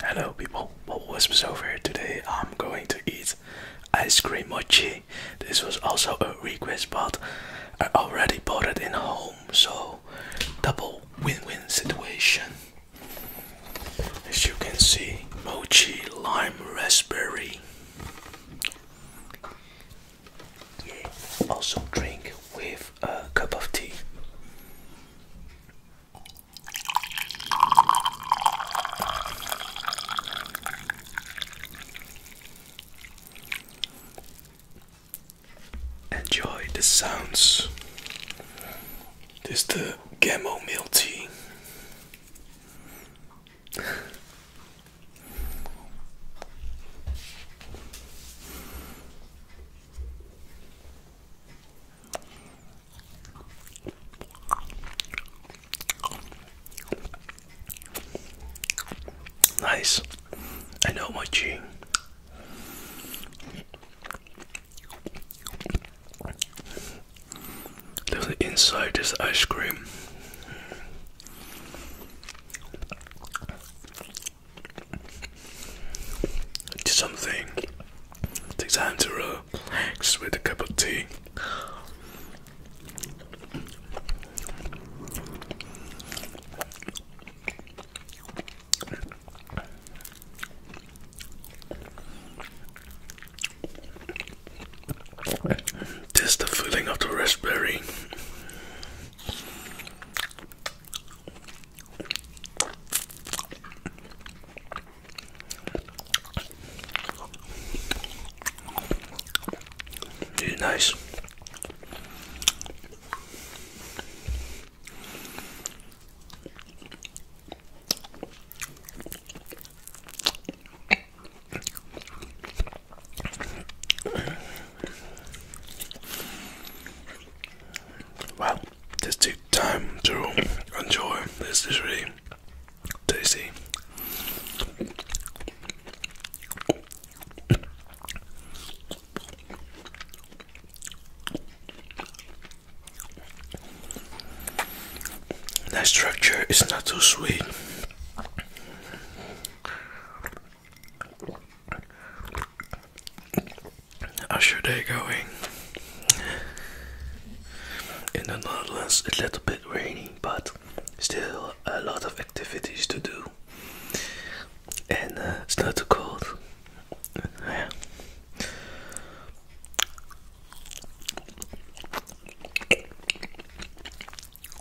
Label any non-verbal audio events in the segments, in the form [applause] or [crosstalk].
Hello people, Bubble Wisps over here. Today I'm going to eat ice cream mochi. This was also a request but I already bought it in home so double win-win situation. As you can see, mochi lime raspberry. Also drink with a cup of tea. Enjoy the sounds. This is the Gammo Mill Tea. Nice. I know my G. Look inside this ice cream do something. Take time to relax with a cup of tea. Taste the feeling of the raspberry. Dude, nice. Wow, just take time to enjoy. This is really tasty. The structure is not too sweet. How's your day going? In the Netherlands, a little bit rainy, but still a lot of activities to do, and uh, it's not too cold.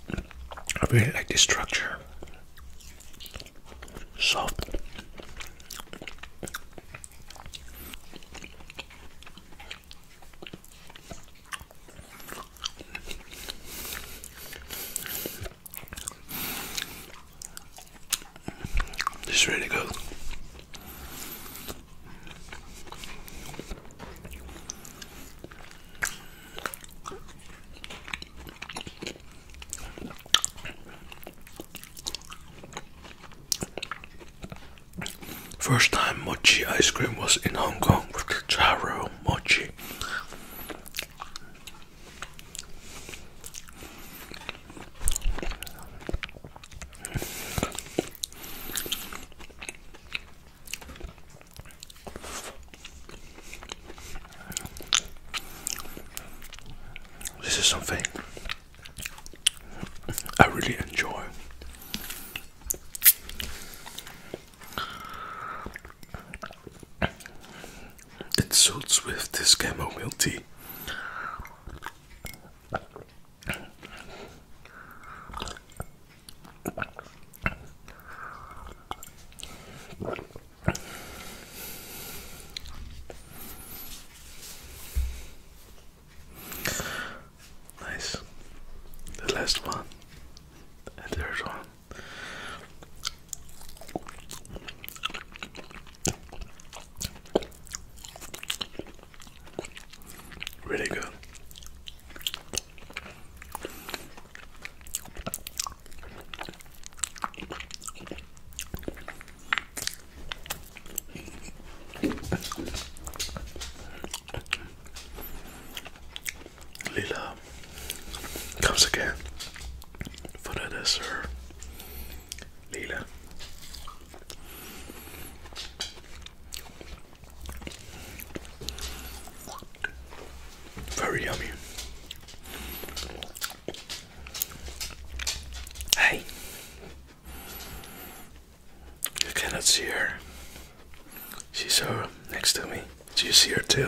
I really like this structure. Soft. This is really good. First time mochi ice cream was in Hong Kong with the Charo mochi. This is something I really enjoy. It suits with this chamomile tea. Nice. The last one. And there's one. Really good. Lila comes again for the dessert. Leela. Very yummy. Hey, you cannot see her. She's so next to me. Do you see her too?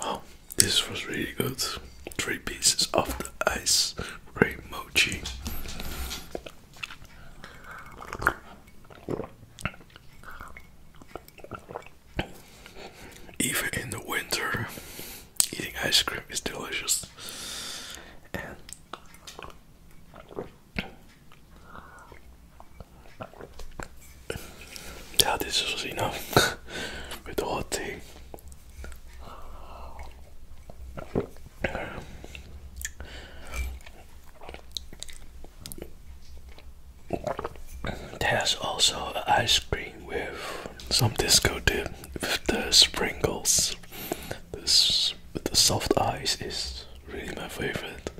Wow, oh, this was really good. Three pieces of the ice cream mochi. Even in the winter, eating ice cream is delicious. Yeah, this was enough [laughs] with the whole thing. There's also ice cream with some disco dip with the sprinkles. This with the soft ice is really my favorite.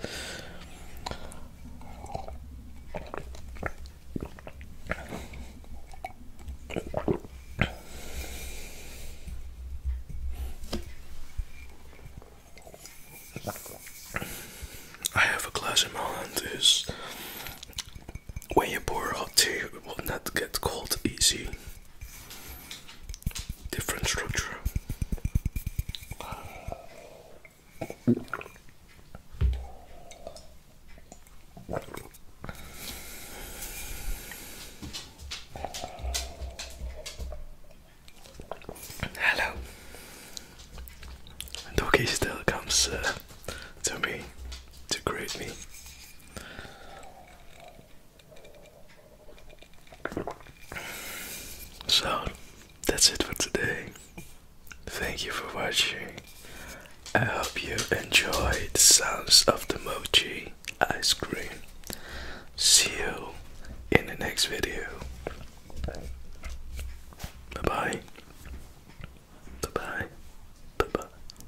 I have a glass in my hand is when you pour hot tea it will not get cold easy different structure. Hello. Doggy still comes uh, to me to greet me. So that's it for today. Thank you for watching. I hope you enjoyed the sounds of the mochi ice cream. See you in the next video. Bye bye. Bye bye. Bye bye.